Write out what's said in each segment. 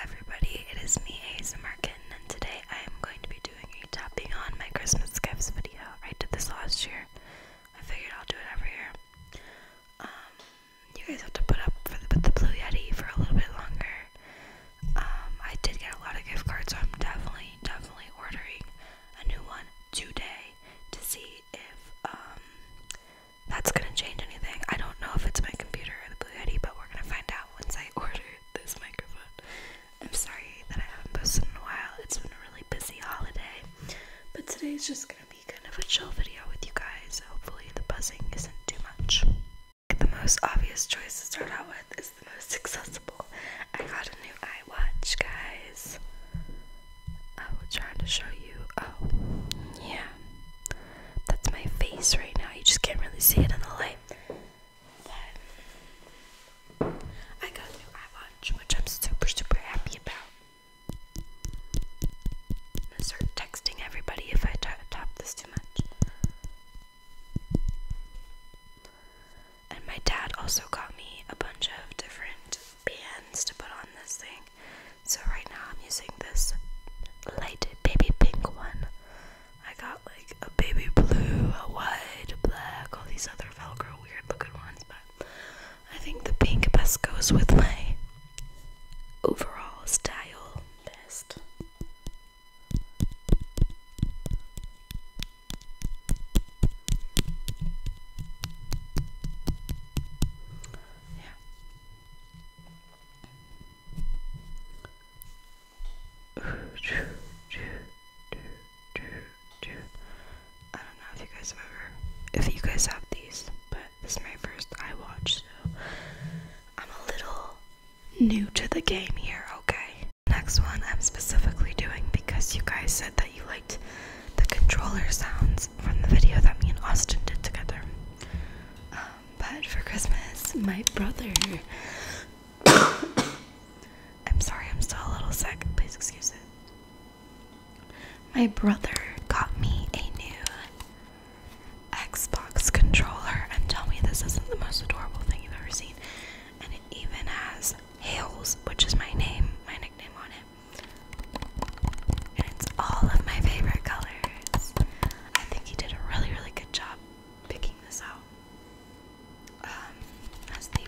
everybody, it is me ASMR Kitten and today I am going to be doing a topping on my Christmas gifts video. I did this last year. I figured I'll do it every year. Um, you guys have to put up for the, Blue Yeti for a little bit longer. Um, I did get a lot of gift cards so I'm definitely, definitely ordering a new one today to see if, um, that's gonna change anything. I don't know if it's my computer or the Blue Yeti, but we're gonna find out once I order this microphone. I'm sorry that I haven't posted in a while. It's been a really busy holiday, but today's just gonna be kind of a chill video with you guys. Hopefully, the buzzing isn't too much. The most obvious choice to start out with is the most accessible. I got a new iWatch, guys. I was trying to show you. Oh, yeah. That's my face right now. You just can't really see it in the light. I got new eye which I'm super, super happy about. gonna start texting everybody if I top this too much. And my dad also got me a bunch of different bands to put on this thing. So right now I'm using this light baby pink one. I got like a baby blue, a white, a black, all these other Velcro weird looking ones, but I think the pink best goes with my overall style best. Yeah. I don't know if you guys have ever, if you guys have these, but this is my first iWatch, so I'm a little new to the game here, okay? Next one I'm specifically doing because you guys said that you liked the controller sounds from the video that me and Austin did together. Um, but for Christmas, my brother. I'm sorry, I'm still a little sick. Please excuse it. My brother got me a new Xbox controller, and tell me this isn't the most adorable thing you've ever seen. And it even has Hales, which is my name, my nickname on it. And it's all of my favorite colors. I think he did a really, really good job picking this out. Um, has the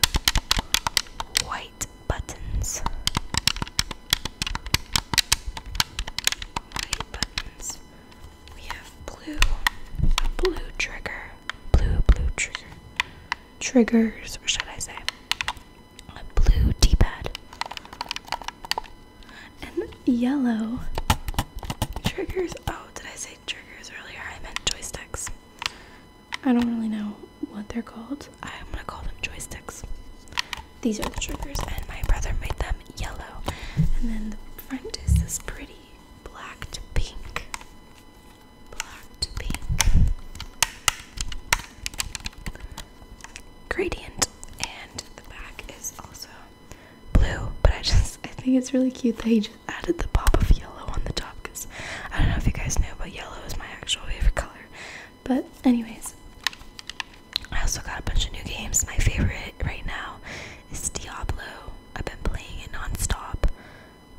white buttons. White buttons. We have blue, blue trigger, blue, blue trigger, triggers, or should I say, a blue d-pad and yellow triggers oh did i say triggers earlier i meant joysticks i don't really know what they're called i'm gonna call them joysticks these are the triggers and my brother made them yellow and then the front is this pretty black pink black to pink gradient and the back is also blue. But I just I think it's really cute that he just added the pop of yellow on the top because I don't know if you guys know, but yellow is my actual favorite color. But anyways, I also got a bunch of new games. My favorite right now is Diablo. I've been playing it non-stop.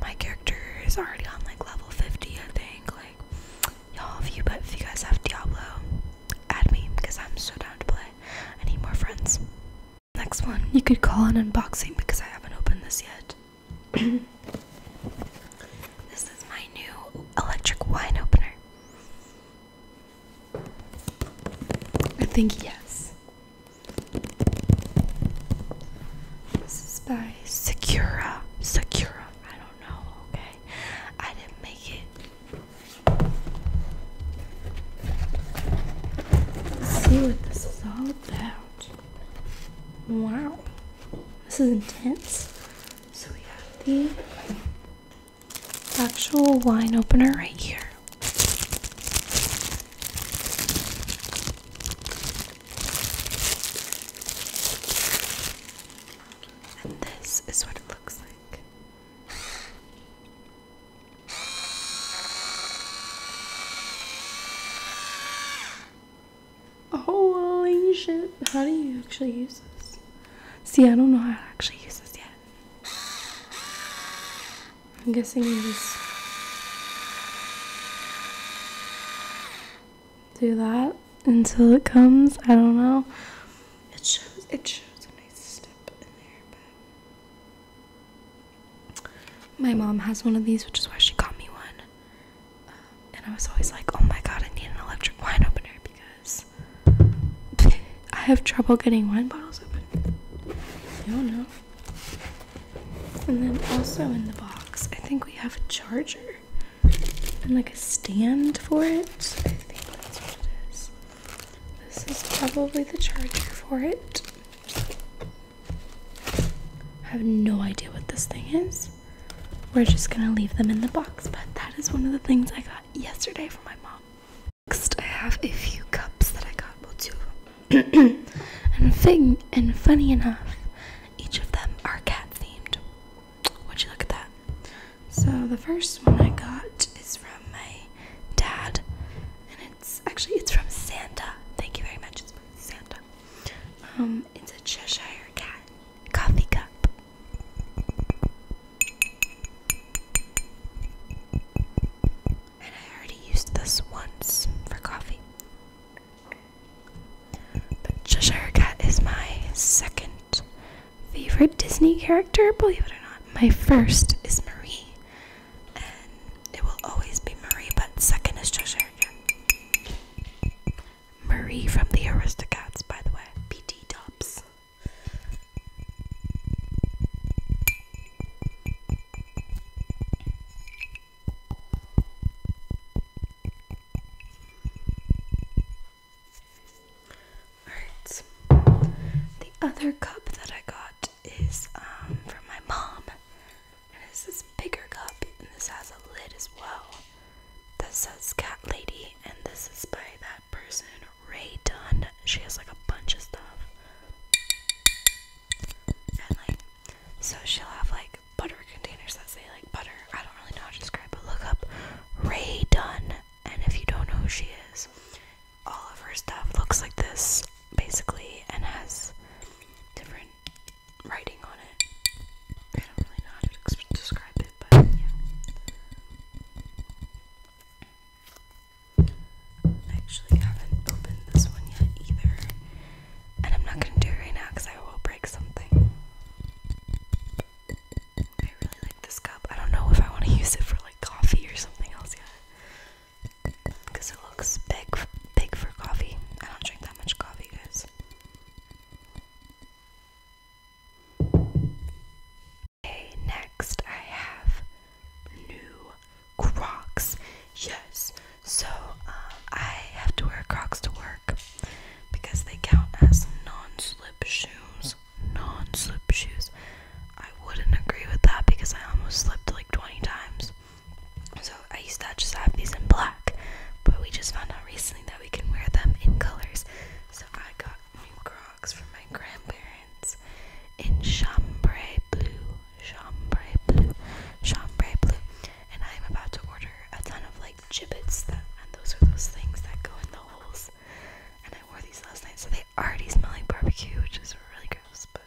My character is already on like level 50, I think. Like y'all, if you but if you guys have Diablo, add me because I'm so down to play. I need more friends. Next one, you could call an unboxing because I haven't opened this yet. this is my new electric wine opener. I think yes. This is by Sakura. Sakura. I don't do okay? I didn't make it. Let's see what this is all about. Wow. This is intense. So we have the actual wine opener right here. And this is what it looks like. Holy shit, how do you actually use this? See, I don't know how to actually use this yet. I'm guessing you just do that until it comes. I don't know. It shows it shows a nice step in there, but my mom has one of these, which is why she got me one. Um, and I was always like, oh my god, I need an electric wine opener because I have trouble getting wine bottles open. I don't know. And then also in the box, I think we have a charger and like a stand for it. I think that's what it is. This is probably the charger for it. I have no idea what this thing is. We're just gonna leave them in the box, but that is one of the things I got yesterday from my mom. Next, I have a few cups that I got, well, two of them. and, fig- and funny enough, each of them are cat themed would you look at that? So the first one I got is from my dad, and it's actually it's from Santa. Thank you very much. It's from Santa. Um, it's a Cheshire cat coffee cup. And I already used this once for coffee. But Cheshire Cat is my second favorite Disney character, believe it or not. My first is Marie, and it will always be Marie, but second is Cheshire Cat. Marie from the Aristocats, by the way. PT Tops. Alright. The other cup that I got is um, from my mom. And it's this bigger cup, and this has a lid as well. That says Cat Lady, and this is by that person, Ray Dunn. She has like a bunch of stuff. And like so she'll have like butter containers that say like butter. I don't really know how to describe but look up Ray Dunn and if you don't know who she is, all of her stuff looks like this basically and has different writing on it. I don't really know how to describe it, but yeah. actually haven't opened this one yet either. And I'm not gonna do it right now because I will break something. I really like this cup. I don't know if I want to use it for like coffee or something else yet. Because it looks big, big for coffee. I don't drink that much coffee, guys. Okay, next I have new Crocs. Yes, so um, I have to wear Crocs to work because they count as non-slip shoes. Non-slip shoes. I wouldn't agree with that because I almost slipped like 20 times. So I used to just have these in black, but we just found out recently that we can wear them in colors. So I got new Crocs from my grandparents in chambray blue chambray blue, chambray blue, and I am about to order a ton of like gibbets and those are those things that go in the holes. And I wore these last night, so they already smell like barbecue, which is really gross. But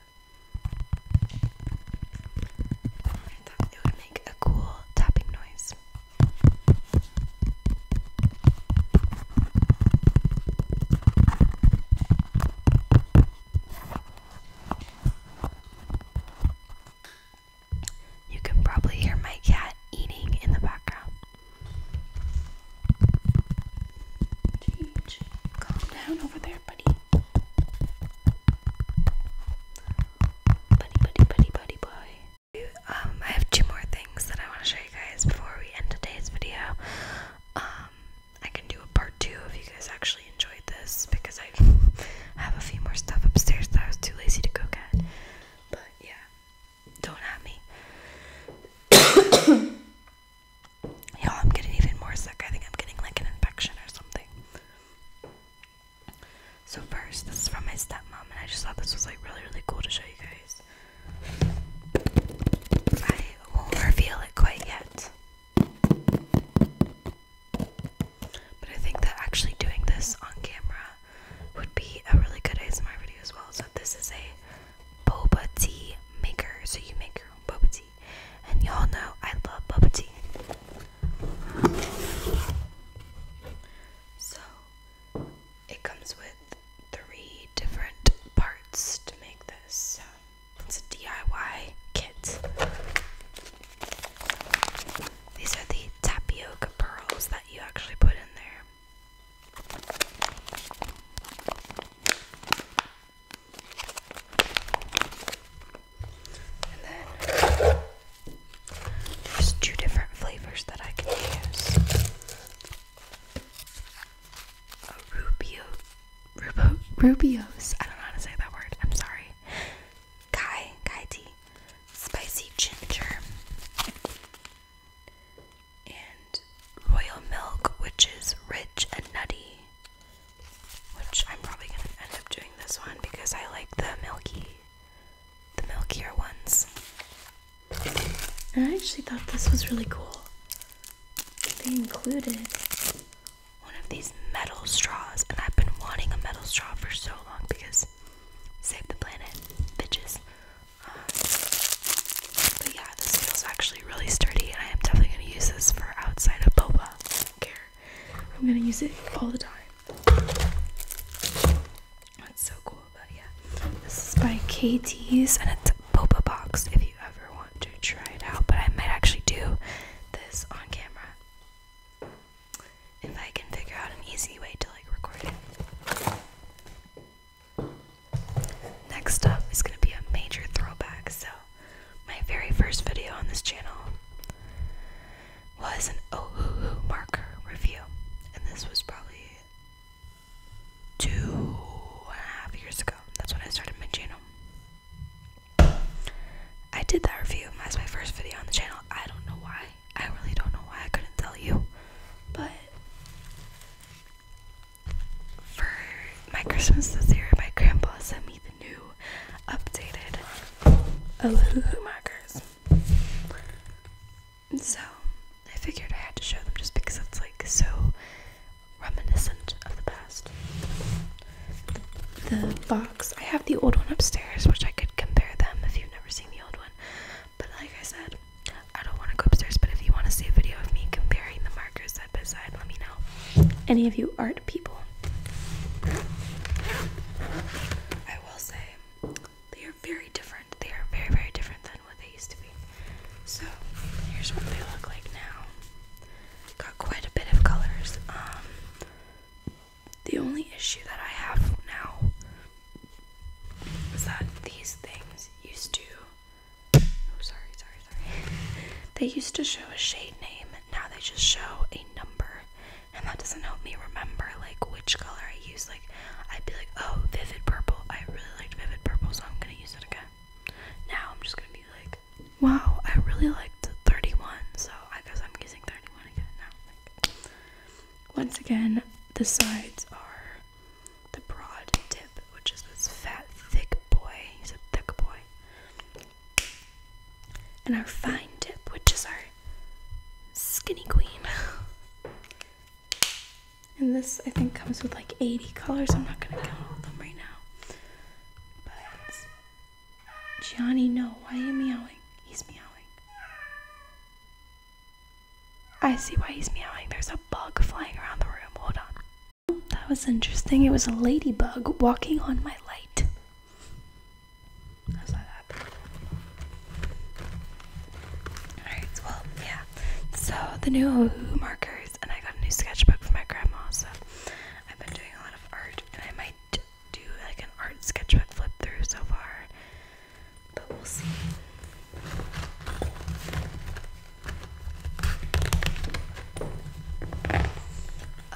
it would make a cool tapping noise. You can probably hear my cat eating in the background. calm down over there, buddy. Buddy, buddy, buddy, buddy, boy. Um, I have two more things that I want to show you guys before we end today's video. Um, I can do a part two if you guys actually enjoyed this because I have a few more stuff upstairs that I was too lazy to go get. But yeah, don't at me. Y'all, I'm getting even more sick. I think I'm getting like an infection or something. So, first, this is from my stepmom, and I just thought this was like really, really cool to show you guys. I won't reveal it quite yet. But I think that actually doing this on camera would be a really good ASMR video as well. So this is a boba tea maker. So you make your own boba tea. And y'all know I love boba tea. So it comes with three different parts to make this it's a DIY kit. These are the tapioca pearls that you actually put in there. And then there's two different flavors that I can use a Rubio, Rubio's. I don't know how to say that word. I'm sorry. Kai, Kai spicy ginger, and royal milk, which is rich and nutty. Which I'm probably gonna end up doing this one because I like the milky, the milkier ones. I actually thought this was really cool they included one of these metal straws, and I've been wanting a metal straw for so long because save the planet, bitches. Uh, but yeah, this feels actually really sturdy, and I am definitely gonna use this for outside of boba. I care. I'm gonna use it all the time. That's so cool, but yeah. This is by KT's, and it's boba box if you ever want to try it out. But I might actually do this on camera if I can figure out an easy way to like record it. Next up is going to be a major throwback. So, my very first video on this channel was an Ohuhu marker review, and this was probably two and a half years ago. That's when I started my channel. I did that review That's my first video on the channel. I don't know why. I really don't know why. I couldn't tell you. But for my Christmas this year, my grandpa sent me the new updated Aluhu markers. So I figured I had to show them just because it's like so reminiscent of the past. The box, I have the old one upstairs, which I could compare them if you've never seen the old one. But like I said, I don't want to go upstairs, but if you want to see a video of me comparing the markers side by side, let me know. Any of you art people. I will say they are very different. They are very, very different than what they used to be. So here's what they look like now. Got quite a bit of colors. Um, the only issue that I have now is that these things used to. Oh, sorry, sorry, sorry. they used to show a shade name. Now they just show a number, and that doesn't help me remember like which color I use. Like I'd be like, oh, vivid purple. I really liked vivid purple, so I'm gonna use it again. Now I'm just gonna be like, wow, I really liked 31, so I guess I'm using 31 again now. Once again, the sides are the broad tip, which is this fat, thick boy. He's a thick boy. And our fine tip, which is our skinny queen. And this, I think, comes with like 80 colors. I'm not gonna count all of them right now. But Gianni, no. Why are you meowing? He's meowing. I see why he's meowing. There's a bug flying around the room. Hold on. That was interesting. It was a ladybug walking on my light. How's that happen? Alright, well, yeah. So the new markers and I got a new sketchbook for my grandma so I've been doing a lot of art and I might do like an art sketchbook flip through so far but we'll see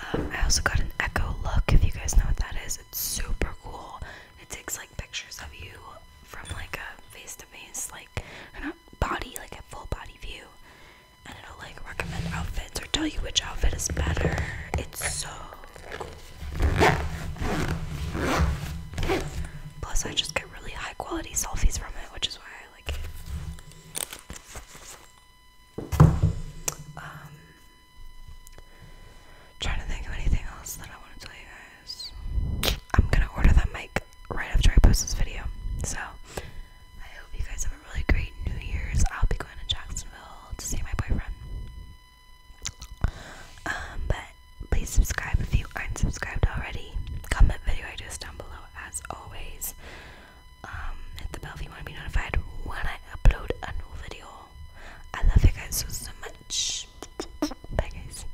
um, I also got an echo look if you guys know what that is it's super cool it takes like pictures of you from like a face to face like body, like a full body view, and it'll like recommend outfits or tell you which outfit is better. It's so cool. Plus, I just get really high quality selfies from it, which is why I like it. Um, trying to think of anything else that I want to tell you guys. I'm gonna order that mic right after I post this video. So I hope you guys have a really great New Year's. I'll be going to Jacksonville to see my boyfriend. Um, but please subscribe if you aren't subscribed already. Comment video ideas down below as always. Um, hit the bell if you want to be notified when I upload a new video. I love you guys so so much. Bye guys.